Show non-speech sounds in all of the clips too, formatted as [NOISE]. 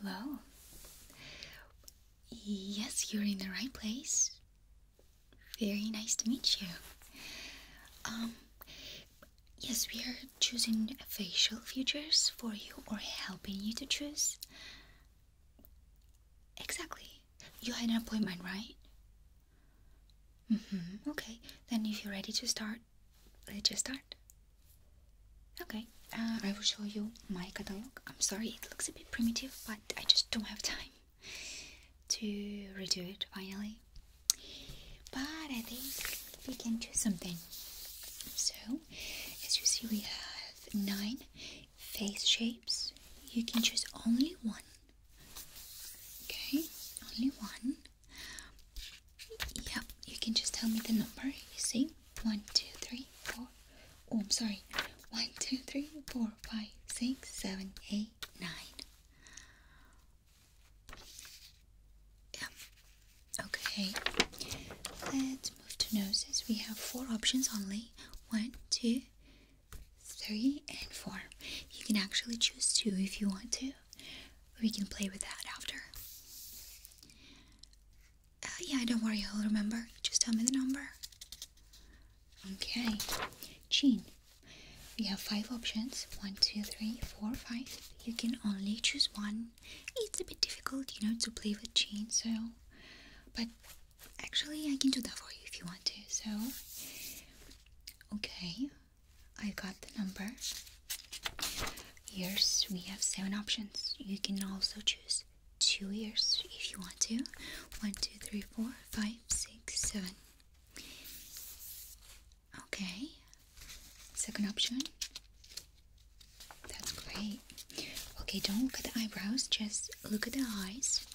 Hello. Yes, you're in the right place. Very nice to meet you. Um, yes, we are choosing facial features for you or helping you to choose. Exactly. You had an appointment, right? Mm-hmm. Okay. Then if you're ready to start, let's just start. Okay. Uh, I will show you my catalog. I'm sorry, it looks a bit primitive, but I just don't have [LAUGHS] time to redo it finally. But I think we can choose something. So, as you see, we have nine face shapes, you can choose only one. Okay, only one. Yep, you can just tell me the number, you see? One, two, three, four. Oh, I'm sorry. One, two, three, four, five, six, seven, eight, nine. Yeah. Okay. Let's move to noses. We have four options only. One, two, three, and four. You can actually choose two if you want to. We can play with that after. Uh, yeah, don't worry, I'll remember. Just tell me the number. Okay, Jean. We have five options one, two, three, four, five. You can only choose one. It's a bit difficult, you know, to play with Jean, so. But Actually, I can do that for you if you want to. So, okay, I got the number. Years, we have seven options. You can also choose two years if you want to. One, two, three, four, five, six, seven. Okay, second option. That's great. Okay, don't look at the eyebrows, just look at the eyes.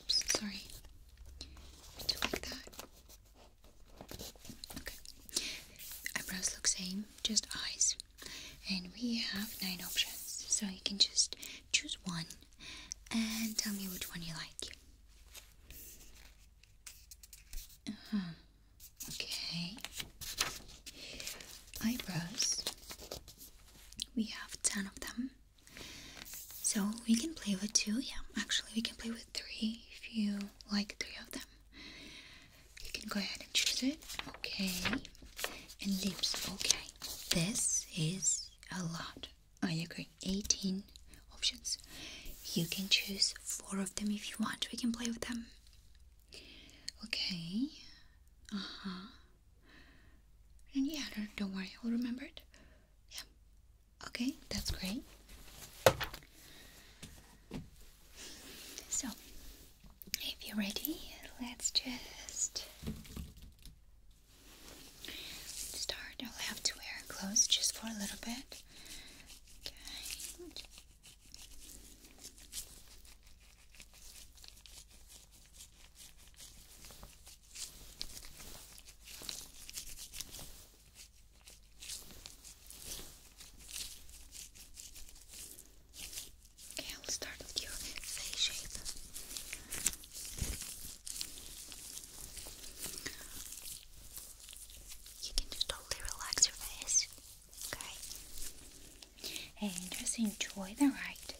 Oops, sorry. like that. Okay. Eyebrows look same, just eyes. And we have nine options, so you can just choose one and tell me which one you like. Uh -huh. Okay. Eyebrows. We have ten of them. So we can play with two, yeah. Actually, we can play with three if you like three of them. You can go ahead and choose it. Okay. And lips. Okay. This is a lot. I agree. 18 options. You can choose four of them if you want. We can play with them. Okay. Uh huh. And yeah, don't, don't worry, I'll remember it. Yeah. Okay, that's great. So, if you're ready, let's just start. I'll have to wear clothes just for a little bit. Okay. Okay, I'll start with your face shape. You can just totally relax your face, okay? And just enjoy the ride.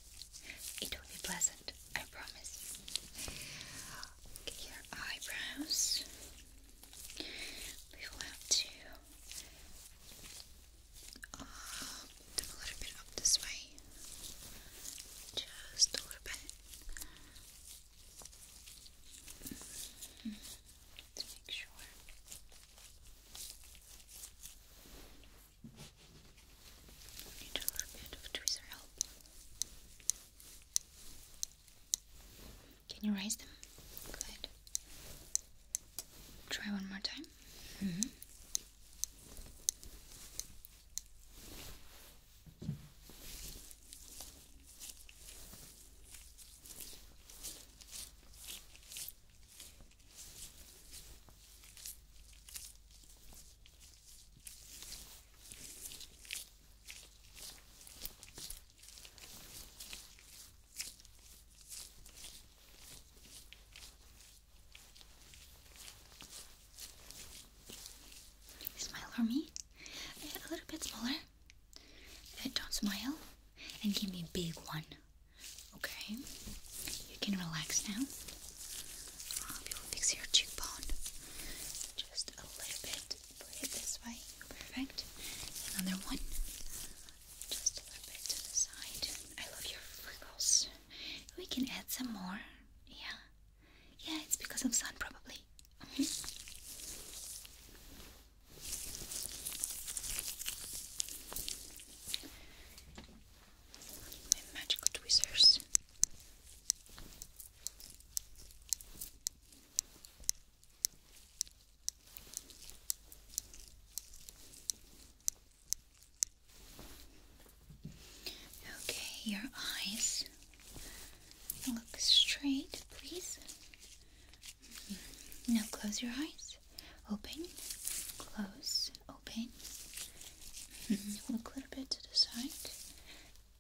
It will be pleasant, I promise. Okay, eyebrows. We will have to uh, do a little bit up this way. Just a little bit. Mm-hmm. To make sure. Need a bit of tweezer help. Can you raise them? Good. Try one more time. Mm -hmm. Smile for me. Eh, a little bit smaller. Eh, don't smile. And give me a big one. Okay. You can relax now. Uh, we will fix your cheekbone just a little bit. Put it this way. Perfect. Another one. Just a little bit to the side. I love your freckles. We can add some more. Yeah. Yeah, it's because of sun probably and magical tweezers. Okay, your eyes look straight, please. Mm-hmm. Now close your eyes. Open, close, open. Mm -hmm. Look a little bit to the side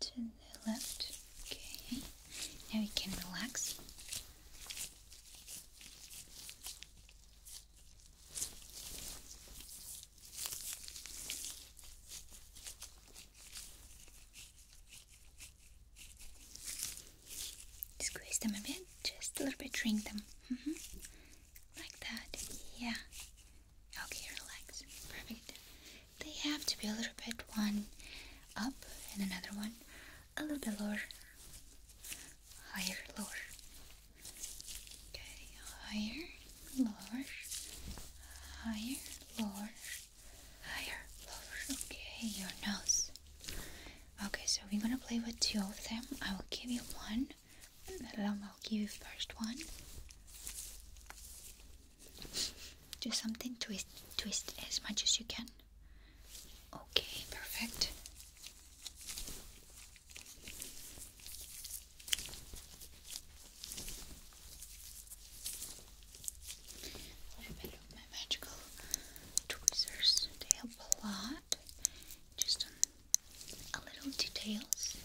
to the left. Okay, now we can relax. Squeeze them a bit, just a little bit, drink them. Mm-hmm. Like that, yeah. Okay, relax. Perfect. They have to be a little bit one up and another one a little bit lower. Higher, lower. Okay, higher, lower, higher, lower, higher, lower. Okay, your nose. Okay, so we're gonna play with two of them. I will give you one. I'll give you first one. Do something twist, twist as much as you can. Okay, perfect. A little bit of my magical tweezers. They help a lot. Just a little details.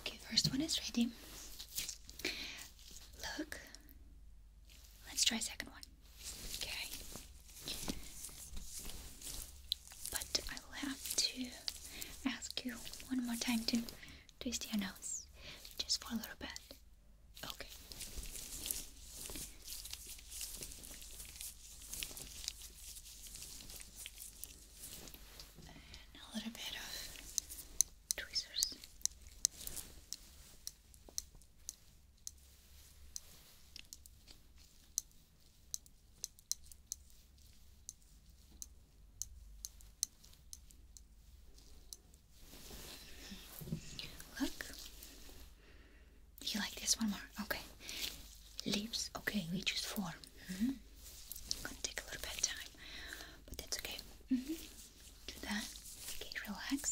Okay, first one is ready. Look. Let's try second one. Okay. But I will have to ask you one more time to twist your nose just for a little bit. Okay a little bit of tweezers. Look, you like this one more? Okay, lips. Okay, we choose four. Mm -hmm. Gonna take a little bit but that's okay. Mm-hmm. Do that. Okay, relax.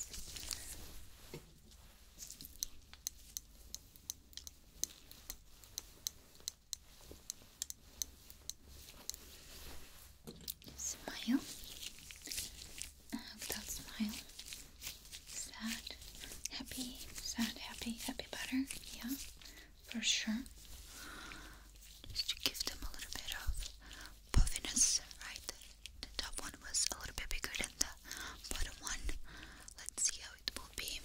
Smile. without smile. Sad. Happy. Sad. Happy. Happy. Better. Yeah for sure. Just to give them a little bit of puffiness, right? The top one was a little bit bigger than the bottom one. Let's see how it will be.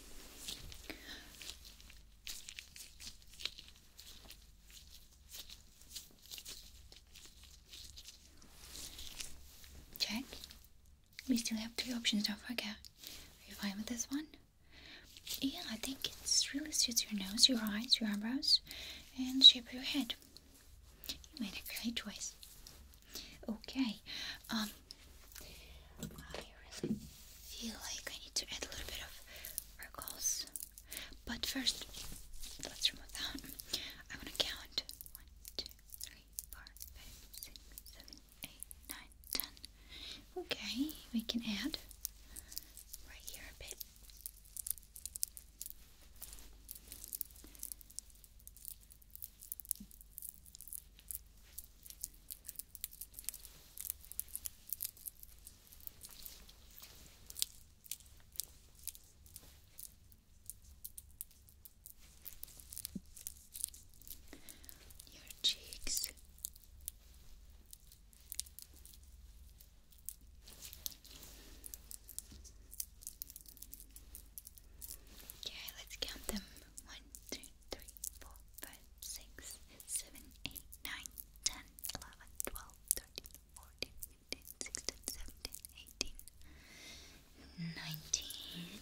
Check. We still have three options, don't forget. Are you fine with this one? Yeah, I think it really suits your nose, your eyes, your eyebrows, and shape of your head. You made a great choice. Okay, um, I really feel like I need to add a little bit of freckles, but first, let's remove that. I'm gonna count one, two, three, four, five, six, seven, eight, nine, ten. Okay, we can add right here a bit. Your cheeks Okay, let's count them. One, two, three, four, five, six, seven, eight, nine, ten, eleven, twelve, thirteen, fourteen, fifteen, sixteen, seventeen, eighteen, nineteen.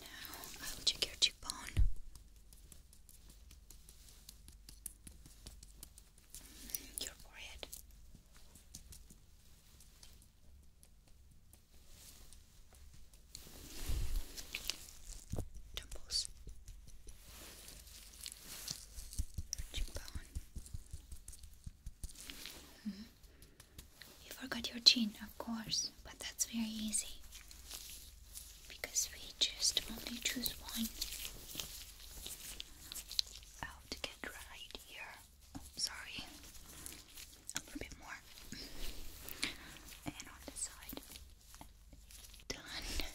now. I will check your cheekbone. Mm, your forehead. Temples. cheekbone. Mm-hmm. You forgot your chin, of course but that's very easy because we just only choose one. I to get right here. Oh, sorry, a little bit more, and on the side. Done.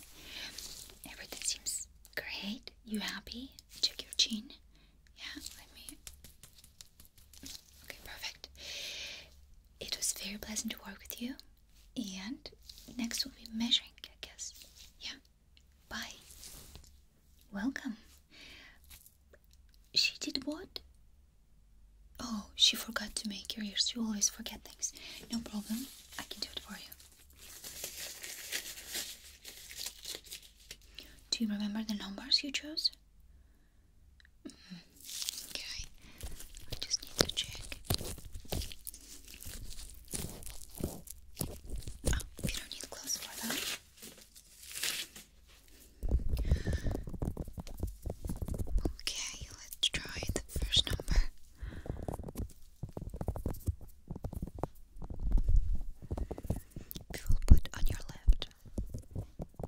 Everything seems great. You happy? Check your chin. Yeah, let me. Okay, perfect. It was very pleasant to work with you. And next we'll be measuring, I guess. Yeah. Bye. Welcome. She did what? Oh, she forgot to make your ears. You always forget things. No problem. I can do it for you. Do you remember the numbers you chose? Okay, I just need to check. Oh, we don't need gloves for that. Okay, let's try the first number. We will put on your left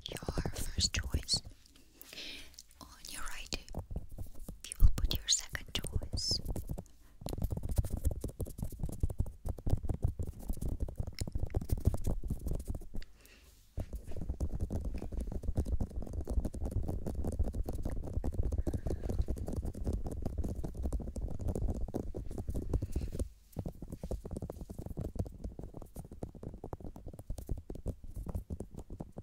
your first choice. On your right, you will put your second choice.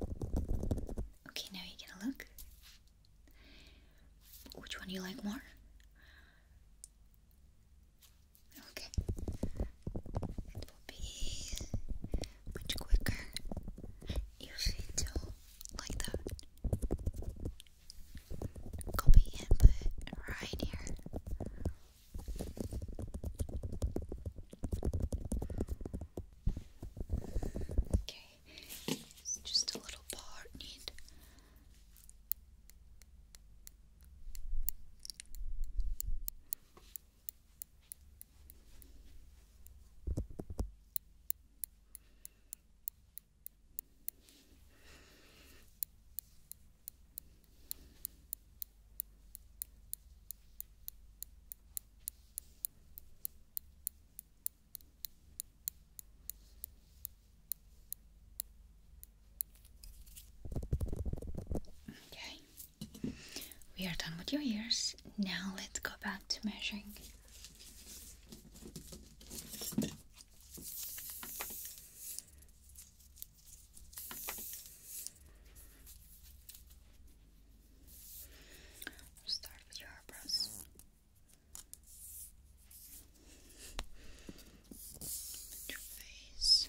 Okay, now you're gonna look. Which one do you like more? Okay. It will be much quicker you do like that. Copy and right here. Okay, it's just a little part need. Okay, we are done with your ears. Now let's go back to measuring. Start with your eyebrows. your face.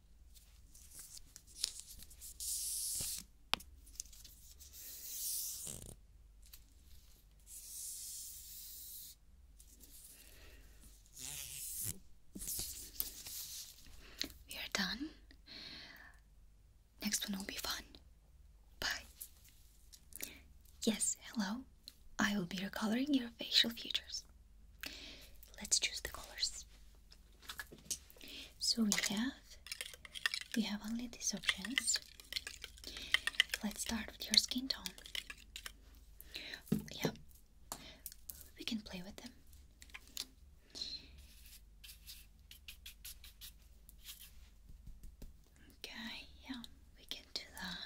We are done. Next one will be fun. Bye. Yes, hello. I will be recoloring your facial features. Let's choose the colors. So we have we have only these options. Let's start with your skin tone. Yep. We can play with them. Okay, yeah, we can do that.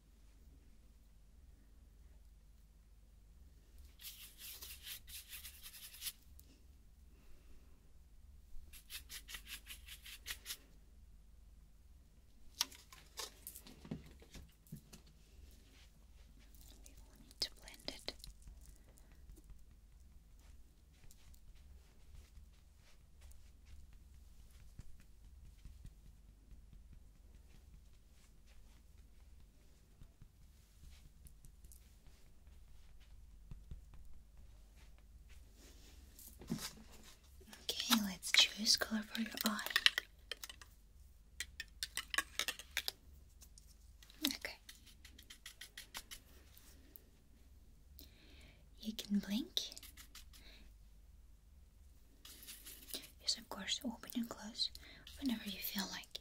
We will need to blend it. Okay, let's choose color for your eye. Okay. You can blink Yes, of course, open and close whenever you feel like it.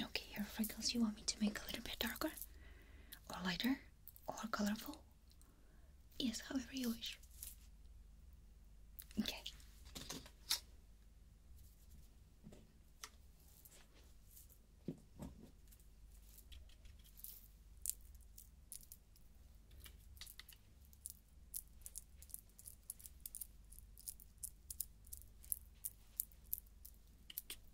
Okay, your freckles, you want me to make a little bit darker or lighter or colorful? Yes, however you wish. Okay.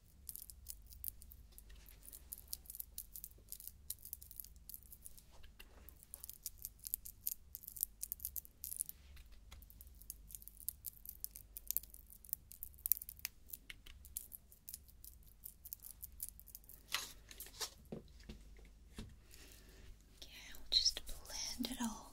Okay, I'll just blend it all.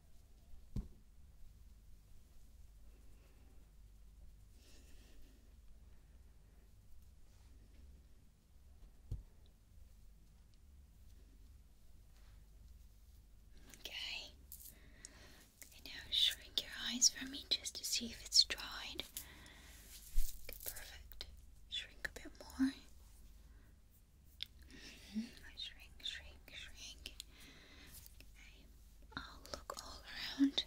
Okay. now shrink your eyes for me just to see if it's dried. perfect. Shrink a bit more. I shrink, shrink, shrink. I'll look all around.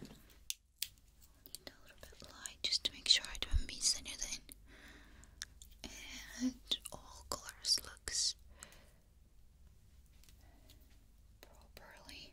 Need a little bit of light just to make sure I don't miss anything. And all colors looks properly.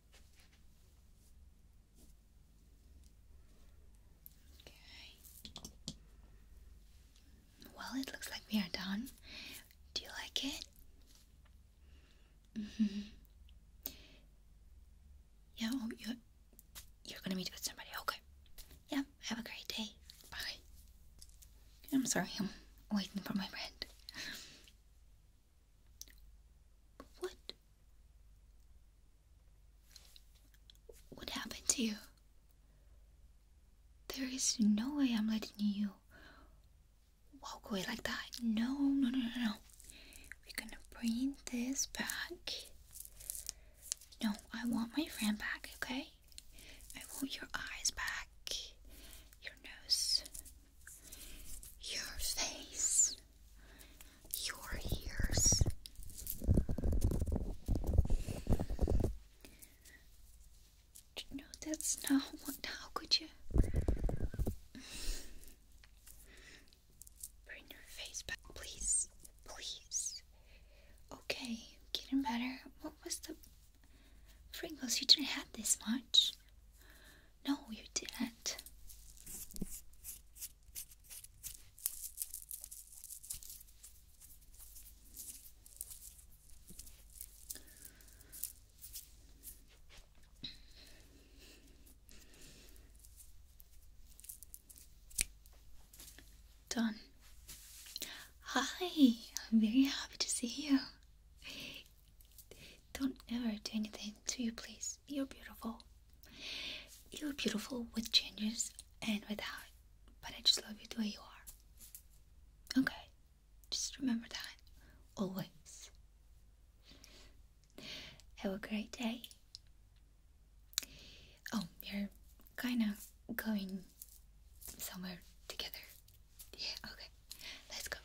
Okay. Well, it looks like we are done. Do you like it? Mm-hmm. Yeah, oh, you're, you're gonna meet with somebody. Okay. Yeah, have a great day. Bye. I'm sorry, I'm waiting for my friend. What? What happened to you? There is no way I'm letting you walk away like that. No, no, no, no, no. We're gonna bring this back. No, I want my friend back, okay? I want your eyes back, your nose, your face, your ears. No, that's not what. How could you? Bring your face back, please. Please. Okay, getting better. What was the. Pringles, you didn't have this much. No, you didn't. Done. Hi, I'm very happy to see you. Don't ever do anything to you, please you're beautiful. You're beautiful with changes and without, but I just love you the way you are. Okay, just remember that always. Have a great day. Oh, you're kinda going somewhere together. Yeah, okay, let's go.